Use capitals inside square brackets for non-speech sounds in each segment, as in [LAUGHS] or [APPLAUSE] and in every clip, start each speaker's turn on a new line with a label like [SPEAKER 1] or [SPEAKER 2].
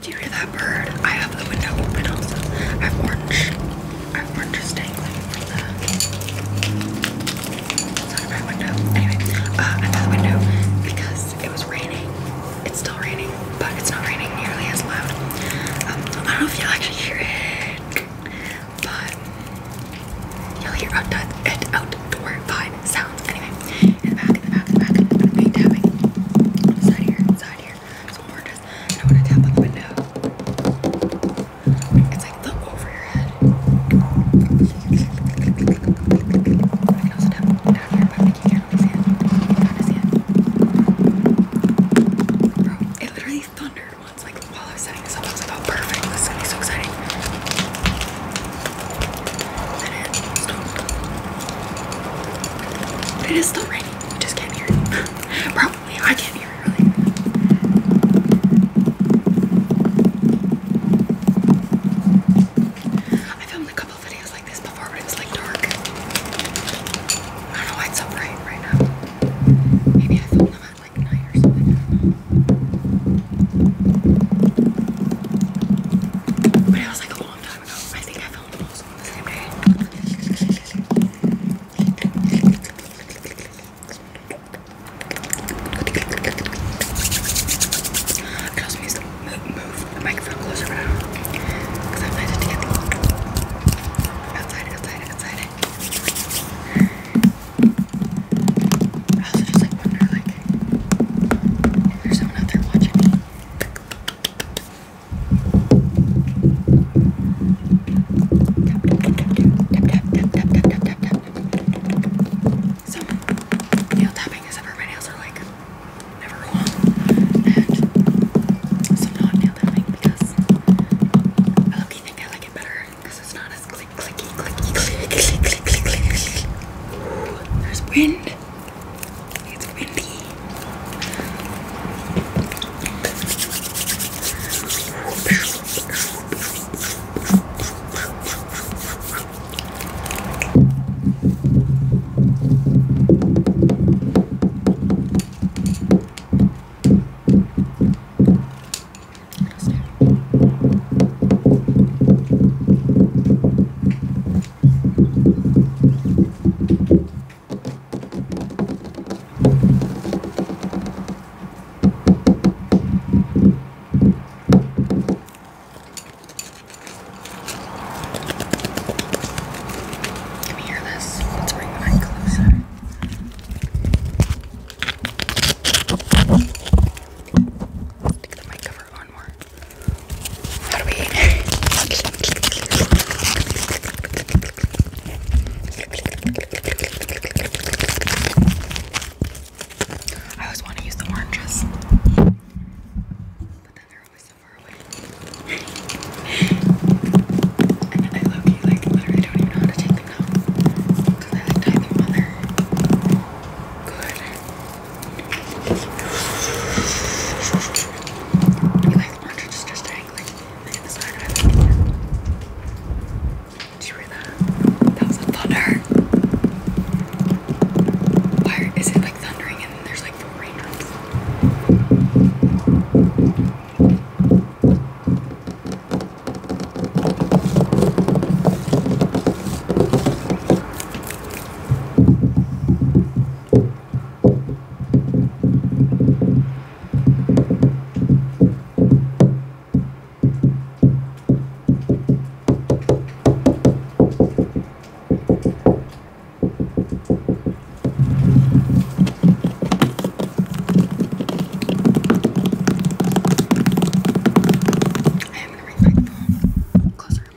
[SPEAKER 1] Do you hear that bird? I have the window open also. I have orange. I have oranges dangling from the side of window. Anyway, uh, I'm by the window because it was raining. It's still raining, but it's not raining nearly as loud. Um, I don't know if you'll actually hear it, but you'll hear outdoor, outdoor vibe sound. Anyway, in the back, in the back, in the back, I'm gonna be tapping. Side here, side here. It's gorgeous. And I'm to tap on the window. It's like the over your head. I can also tap down here, but I think you can't really see it. can kind see it. Bro, it literally thundered once, like while I was setting this up. I was like, oh perfect, this is gonna be so exciting. It is still raining. You just can't hear it. [LAUGHS] Probably. I can't hear it really. I filmed a couple videos like this before, but it like dark. I don't know why it's so bright right now. Maybe I filmed them at like night or something. But it was like a long time ago. I think I phone falls on the center. It also means to move the microphone closer around. Because I've had it to get the outside, outside, outside it. I also just like wonder like if there's someone out there watching me. Like, so nail tapping is ever my nails are like never long and so not nail tapping because I look think I like it better because it's not as click clicky clicky click click click click click click There's wind it's windy. Can you hear this? Let's bring the mic closer. Stick the mic one more. How do we? I always want to use the oranges, but then they're always so far away. and [LAUGHS] I literally don't even know how to take them now because I like tie them Good. You guys, lunch is just dangling. Look at this guy driving. Did you hear that? That was a thunder. Why is it like thundering and there's like four raindrops? I am going to bring my phone closer.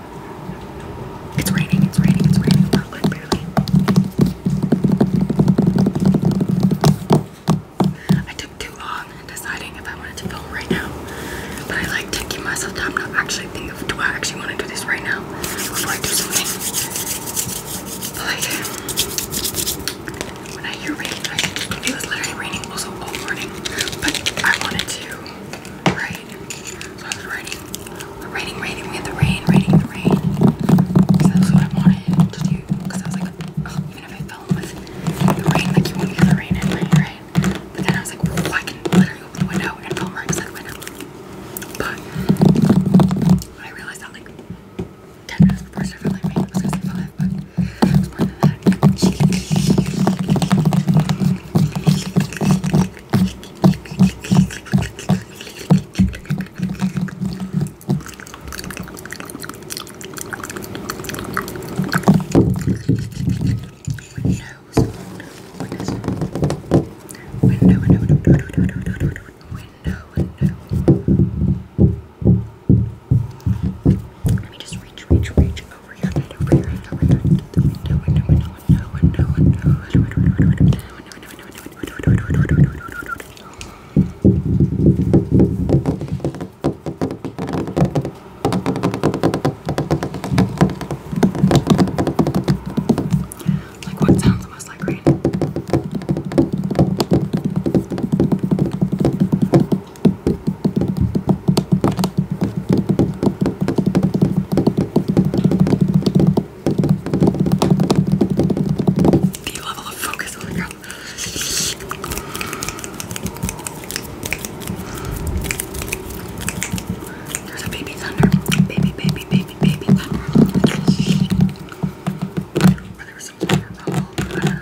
[SPEAKER 1] It's raining, it's raining, it's raining. Not barely. I took too long deciding if I wanted to film right now. But I like taking myself time to actually think of do I actually want to do this right now before I do something. like when I hear rain, it was literally raining also all morning. But I wanted to, right? So I was writing, writing, writing with the rain, writing the rain. Because that's what I wanted to do. Because I was like, oh, even if I film with the rain, like you won't hear the rain anyway, right? But then I was like, I can literally open the window and film right beside the window. But I realized that like 10 minutes before I started filming, I was gonna say five, but it more than that. Window, window, window, window, window, window, window. Let me just reach, reach, reach over your head, over your head, over your head, the window, window, window window, window, window, window, like what sounds the most like rain? I the level of focus on the ground. There's a baby thunder. Baby, baby, baby, baby thunder. Or there was some water bubble. Water.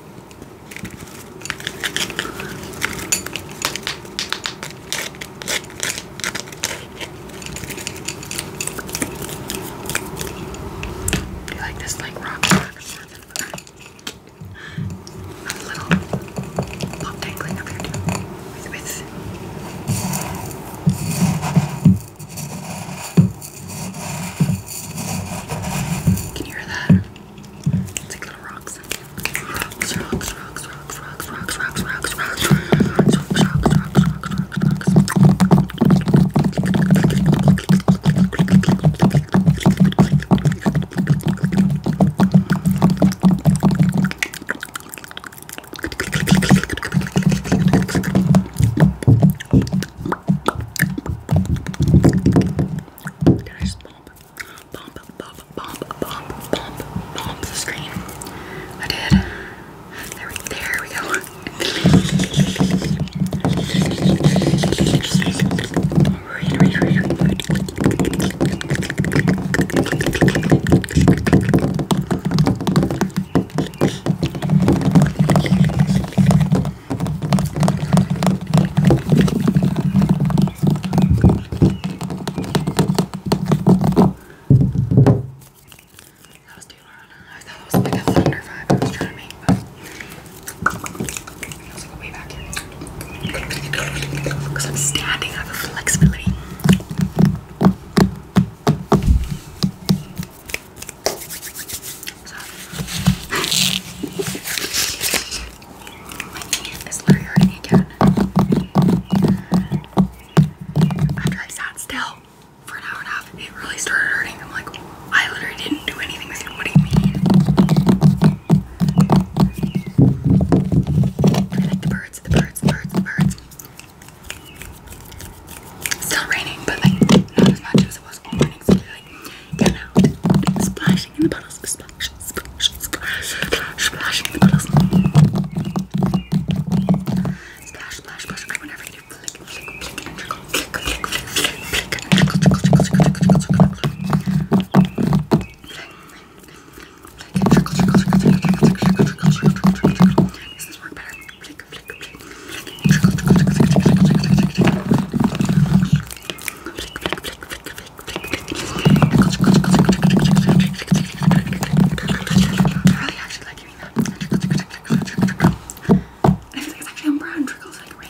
[SPEAKER 1] Do you like this like rock back and forth and forth? A little pop dangling up here too. With, with. Can you hear that? It's like little rocks. Rocks, rocks, rocks, rocks, rocks, rocks, rocks, rocks, rocks, rocks, rocks, rocks, rocks, rocks, rocks. Did I just bump, bump, bump, bump, bump, bump, bump the screen? I did. There we, there we go. Read, read, read, read. That was too loud. I thought that was like a thunder vibe I was trying to make, but it was like way back here. Because I'm standing, I have a flexibility. My knee is literally hurting again. After I sat still for an hour and a half, it really started hurting. I'm like, I literally didn't do anything with you. What do you mean? I like the birds, the birds, birds, birds. still raining, but like not as much as it was all morning. Get out. Splashing in the puddles. Splash, splash, splash, splash, splashing in the puddles. Splash, splash, splash. I whenever you do flick, flick, flick, and trickle, flick, flick, flick, flick, flick, and trickle, trickle, trickle, trickle, trickle, trickle, trickle. Flick, flick, flick, trickle, trickle, trickle, trickle, trickle, trickle, trickle, trickle, trickle, trickle. Does this work better? Flick, flick, flick, really actually like doing that. I feel like it's actually on brown trickles like rain.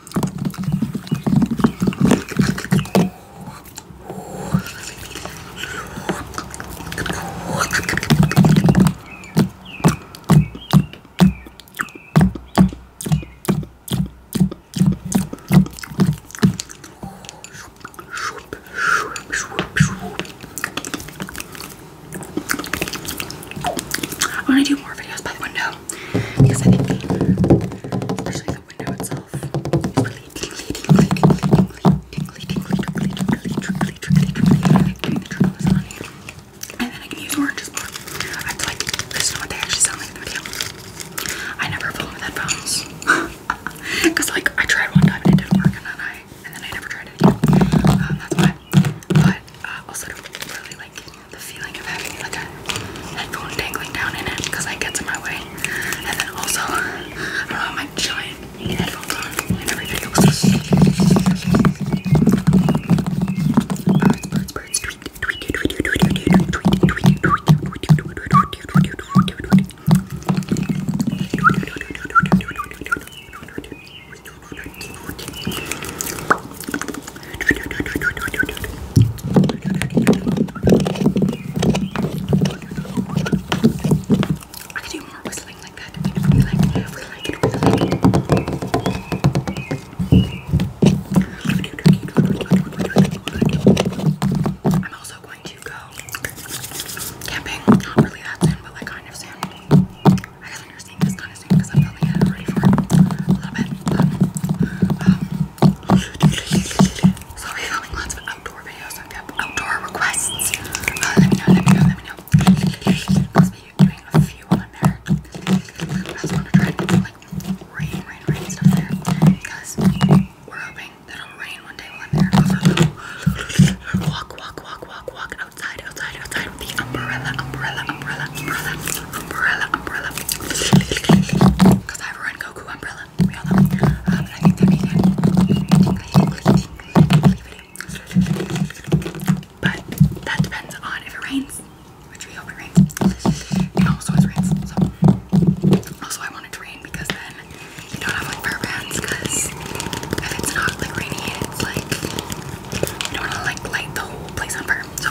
[SPEAKER 1] I'm gonna do more videos by the window because I think, especially the window itself. And then I can use oranges more. I feel like this is what they actually sound like in the video. I never film with headphones. Because [LAUGHS] like I tried one time and it didn't work and then I and then I never tried it um, that's why. But uh, also do really like the feeling of having like a headphone dangling down in it gets in my way. And then also, I don't have my giant headphones I could do more whistling like that. If we like, if we like it, we like it. I'm also going to go camping. Not really that soon, but like kind of soon. I guess when you're seeing this kind of soon because I'm filming it already for a little bit. But, um, Sorry, filming lots of outdoor videos. If you have outdoor requests, uh, let me know, let me know, let me know. Because we are doing a few on there. I just want to try to do like rain, rain, rain stuff there. Because we're hoping that it'll rain one day while I'm there. Also, walk, walk, walk, walk, walk outside, outside, outside with the umbrella, umbrella, umbrella, umbrella, umbrella, umbrella. Because I have a raincoat umbrella. Um, but that depends on if it rains, which we hope it rains. And also it rains. also I want to rain because then you don't have like fur bands because if it's not like rainy, it's like you don't to like light the whole place on fire. So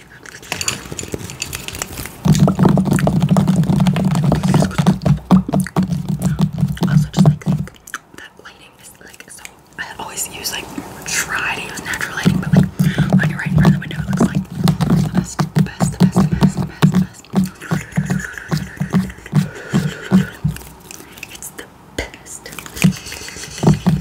[SPEAKER 1] Also, just like that lighting is like so. I always use like try to use natural lighting, but like when you're right in front of the window, it looks like the best, the best, the best, the best, the best, the best. It's the best.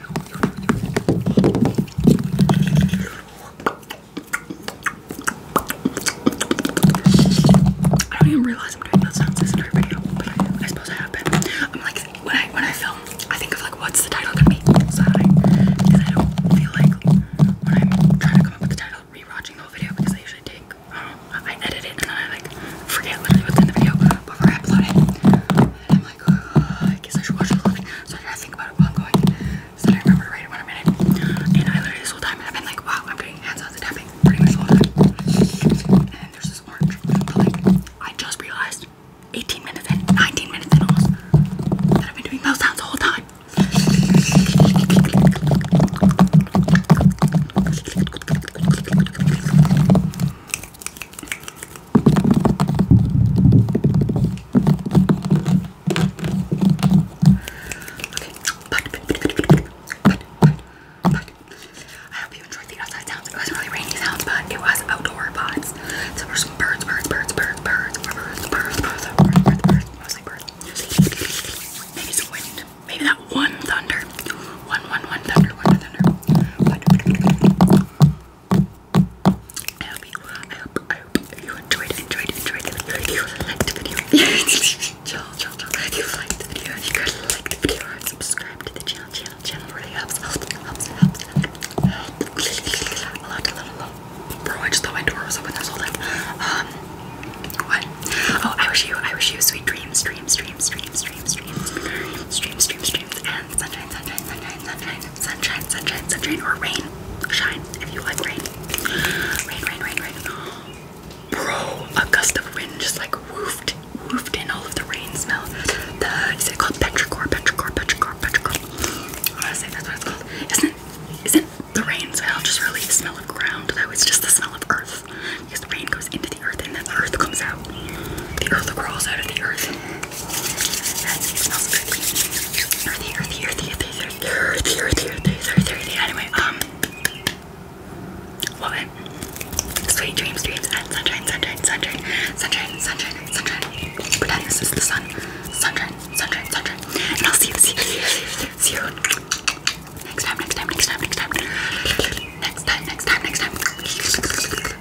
[SPEAKER 1] I don't even realize I'm doing those sounds this entire video, but I, suppose I have been. I'm like, when I when I film, I think of like, what's the title gonna be? So I, don't feel like when I'm trying to come up with the title, rewatching the whole video because I usually take, um, I edit it and then I like forget literally what's in the video before I upload it. I guess I should watch the vlog. So I try to think about it while I'm going. So that I remember to write it in i minute. And I literally this whole time I've been like, wow, I'm doing hands on and tapping pretty much the whole time. And there's this orange. But like, I just realized 18 minutes in, 19 minutes in almost, that I've been doing those sounds the whole time but, but, but, I hope you enjoyed the outside sounds. It was really rainy sounds, but it was outdoor pods. So there's some birds, birds, birds, birds, birds, birds, birds, birds, birds, mostly birds. Maybe some wind. Maybe that one thunder. One, one, one thunder, one thunder. I hope you, I hope, I hope you enjoyed, enjoyed, enjoyed the video. If you liked the video, chill, chill, chill. If you liked the video, you guys like the video and subscribe to the channel. Channel, channel really helps, helps, helps, helps. helps. a lot, a lot, a lot. Bro, I just thought my door was open this whole time. Um, what? Oh, I wish you, I wish you sweet dreams, dreams, dreams, dreams, dreams, dreams, dreams, dreams, dreams, dreams, dreams, and sunshine, sunshine, sunshine, sunshine sunshine, sunshine, sunshine, or rain, shine if you like rain. Rain, rain, rain, rain. Bro, a gust of wind just like woofed, woofed in all of the rain smell. The is it called petrichor, petrichor, petrichor, petrichor? I want to say that's what it's called. Isn't isn't the rain smell just really the smell of ground though? It's just the smell of earth because the rain goes into the earth and then the earth comes out the earth crawls out of the earth. And it smells earthy. Earthy, earthy, earthy, earthy, earthy, earthy, earthy, earthy, earthy, earthy. Anyway, um, love Sweet dreams, dreams, and sunshine, sunshine, sunshine, sunshine, sunshine, sunshine. Pretend this is the sun. Sunshine, sunshine, sunshine. And I'll see you, see you, see you, see you. Next time, next time, next time, next time. Next time, next time, next time.